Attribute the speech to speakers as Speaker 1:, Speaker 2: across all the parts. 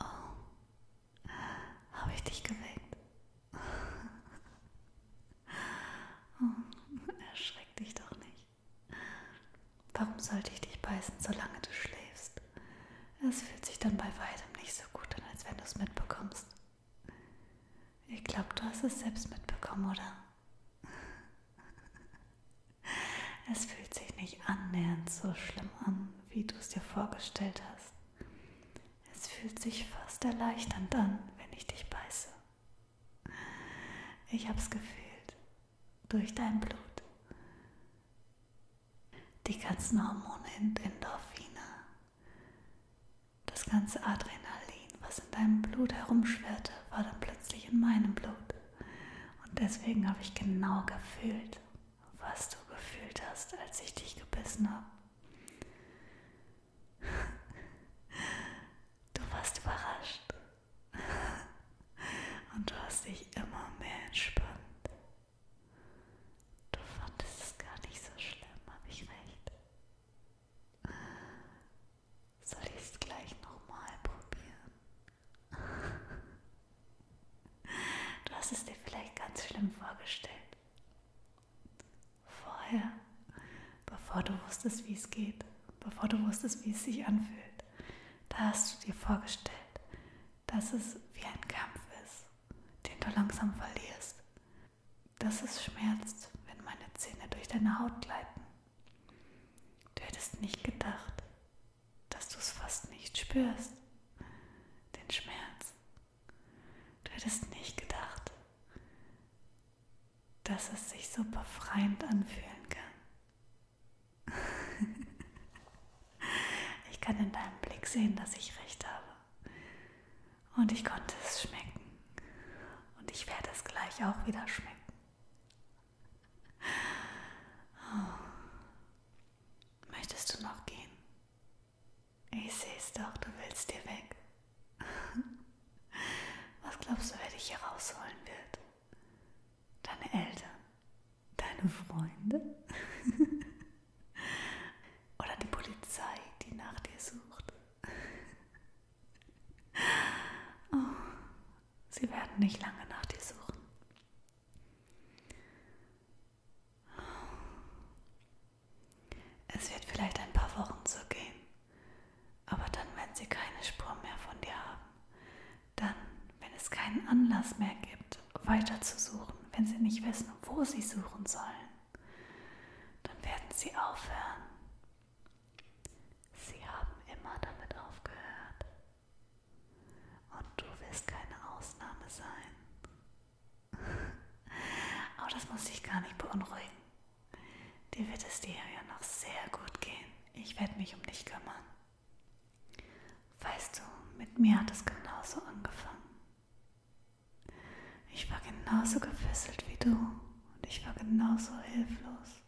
Speaker 1: Oh, äh, habe ich dich geweckt? Oh, erschreck dich doch nicht. Warum sollte ich dich beißen, solange du schläfst? Es fühlt sich dann bei weitem nicht so gut an, als wenn du es mitbekommst. Ich glaube, du hast es selbst mitbekommen, oder? Es fühlt sich nicht annähernd so schlimm an, wie du es dir vorgestellt hast. Es fühlt sich fast erleichternd an, wenn ich dich beiße. Ich hab's gefühlt. Durch dein Blut. Die ganzen Hormone und Endorphine. Das ganze Adrenalin, was in deinem Blut herumschwirrte, war dann plötzlich in meinem Blut. Und deswegen habe ich genau gefühlt, was du gefühlt hast, als ich dich gebissen habe. Du warst überrascht und du hast dich immer mehr entspannt. Du fandest es gar nicht so schlimm, habe ich recht. Soll ich es gleich nochmal probieren? Du hast es dir vielleicht ganz schlimm vorgestellt vorher, bevor du wusstest, wie es geht, bevor du wusstest, wie es sich anfühlt, da hast du dir vorgestellt, dass es wie ein Kampf ist, den du langsam verlierst, dass es schmerzt, wenn meine Zähne durch deine Haut gleiten. Du hättest nicht gedacht, dass du es fast nicht spürst, den Schmerz, Du hättest nicht gedacht, dass es sich so befreiend anfühlen kann. ich kann in deinem Blick sehen, dass ich recht habe. Und ich konnte es schmecken. Und ich werde es gleich auch wieder schmecken. Oh. Möchtest du noch gehen? Ich sehe es doch, du willst dir weg. Was glaubst du, wer dich hier rausholen wird? Deine Eltern? Deine Freunde? Oder die Polizei, die nach dir sucht? oh, sie werden nicht lange nach dir suchen. Es wird vielleicht ein paar Wochen so gehen, aber dann, wenn sie keine Spur mehr von dir haben, dann, wenn es keinen Anlass mehr gibt, weiter zu suchen, wenn sie nicht wissen, wo sie suchen sollen, dann werden sie aufhören. Sie haben immer damit aufgehört. Und du wirst keine Ausnahme sein. Aber das muss dich gar nicht beunruhigen. Dir wird es dir ja noch sehr gut gehen. Ich werde mich um dich kümmern. Weißt du, mit mir hat es genauso angefangen. Ich war genauso gefesselt wie du und ich war genauso hilflos.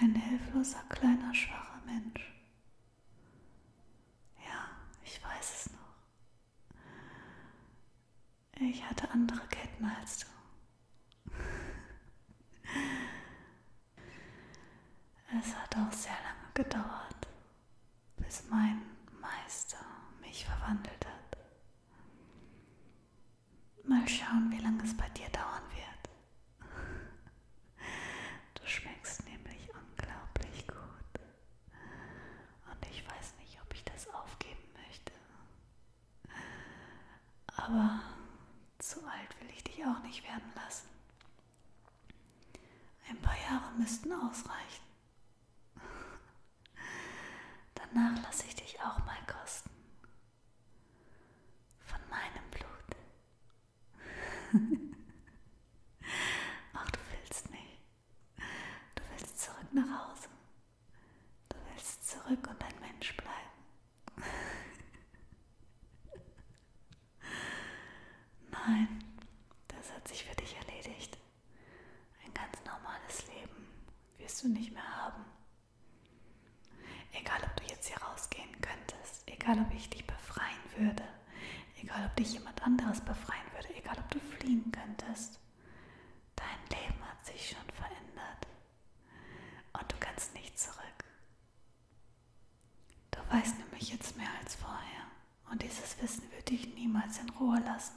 Speaker 1: Ein hilfloser kleiner schwacher Mensch. Ja, ich weiß es noch. Ich hatte andere Ketten als du. es hat auch sehr lange gedauert, bis mein Meister mich verwandelt hat. Mal schauen, wie lange es bei dir dauern wird. Du schmeckst nämlich unglaublich gut. Und ich weiß nicht, ob ich das aufgeben möchte. Aber zu alt will ich dich auch nicht werden lassen. Ein paar Jahre müssten ausreichen. Danach lasse ich dich auch mal kosten. Von meinem Blut. Ach, du willst nicht. Du willst zurück nach Hause. Du willst zurück und ein Mensch bleiben. Nein, das hat sich für dich erledigt. Ein ganz normales Leben wirst du nicht mehr haben. Egal, ob du jetzt hier rausgehen könntest, egal, ob ich dich befreien würde egal ob dich jemand anderes befreien würde, egal ob du fliegen könntest. Dein Leben hat sich schon verändert und du kannst nicht zurück. Du weißt nämlich jetzt mehr als vorher und dieses Wissen würde dich niemals in Ruhe lassen.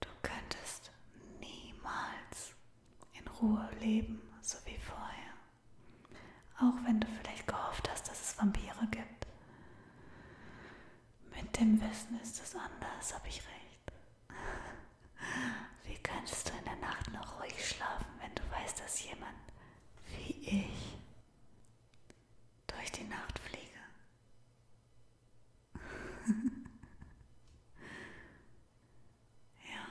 Speaker 1: Du könntest niemals in Ruhe leben, so wie vorher. Auch wenn du vielleicht gehofft hast, dass es Vampire gibt. Mit dem Wissen ist es anders, habe ich recht. Wie kannst du in der Nacht noch ruhig schlafen, wenn du weißt, dass jemand wie ich durch die Nacht fliege? ja,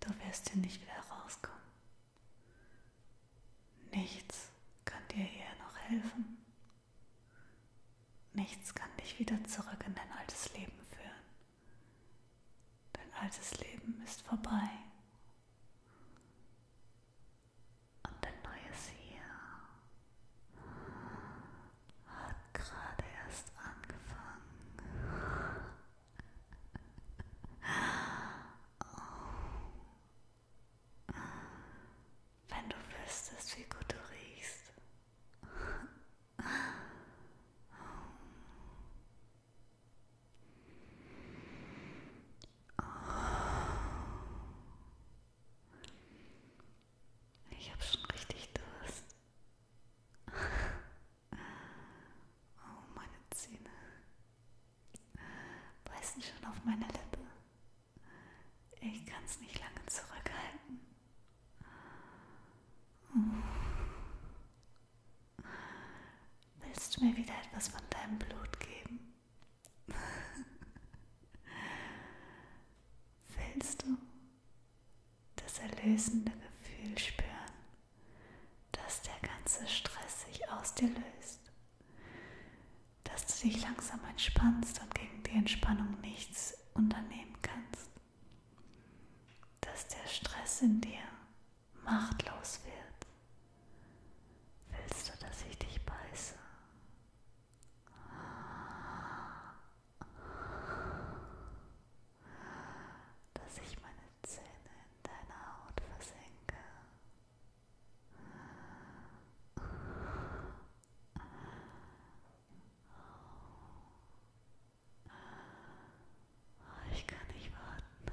Speaker 1: Du wirst hier nicht wieder rauskommen. Nichts kann dir hier noch helfen. Nichts kann dich wieder zurück in dein altes Leben führen. Dein altes Leben ist vorbei. Und dein neues hier hat gerade erst angefangen. Oh. Wenn du wüsstest, wie gut du riechst. Oh. Oh. Ich habe schon richtig Durst. Oh, meine Zähne beißen schon auf meine Lippe. Ich kann es nicht lange zurückhalten. Oh. Willst du mir wieder etwas von deinem Blut geben? Willst du? das erlösende Gefühl spüren, dass der ganze Stress sich aus dir löst, dass du dich langsam entspannst und gegen die Entspannung nichts unternehmen kannst, dass der Stress in dir machtlos wird. Willst du, dass ich dich beiße? dass ich meine Zähne in deiner Haut versenke. Ich kann nicht warten.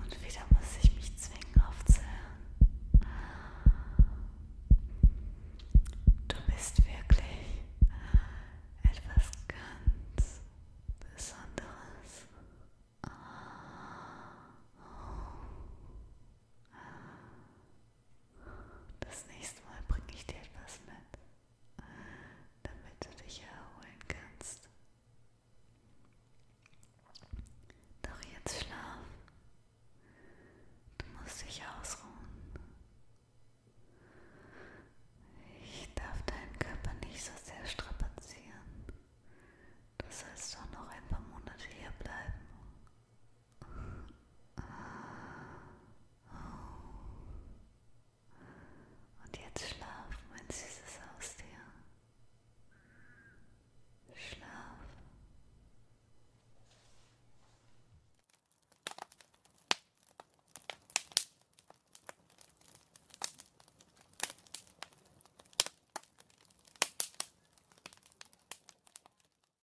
Speaker 1: Und wieder muss ich mich zwingen aufzuhören. Du bist wirklich etwas ganz Besonderes. Oh. Das nächste Mal bringe ich dir etwas mit, damit du dich erholen kannst. Doch jetzt schlaf. Du musst dich ausruhen. Ich darf deinen Körper nicht so sehr strapazieren. Du sollst doch noch ein paar Monate hier bleiben. Und jetzt schlaf, mein süßes Haustier. Schlaf.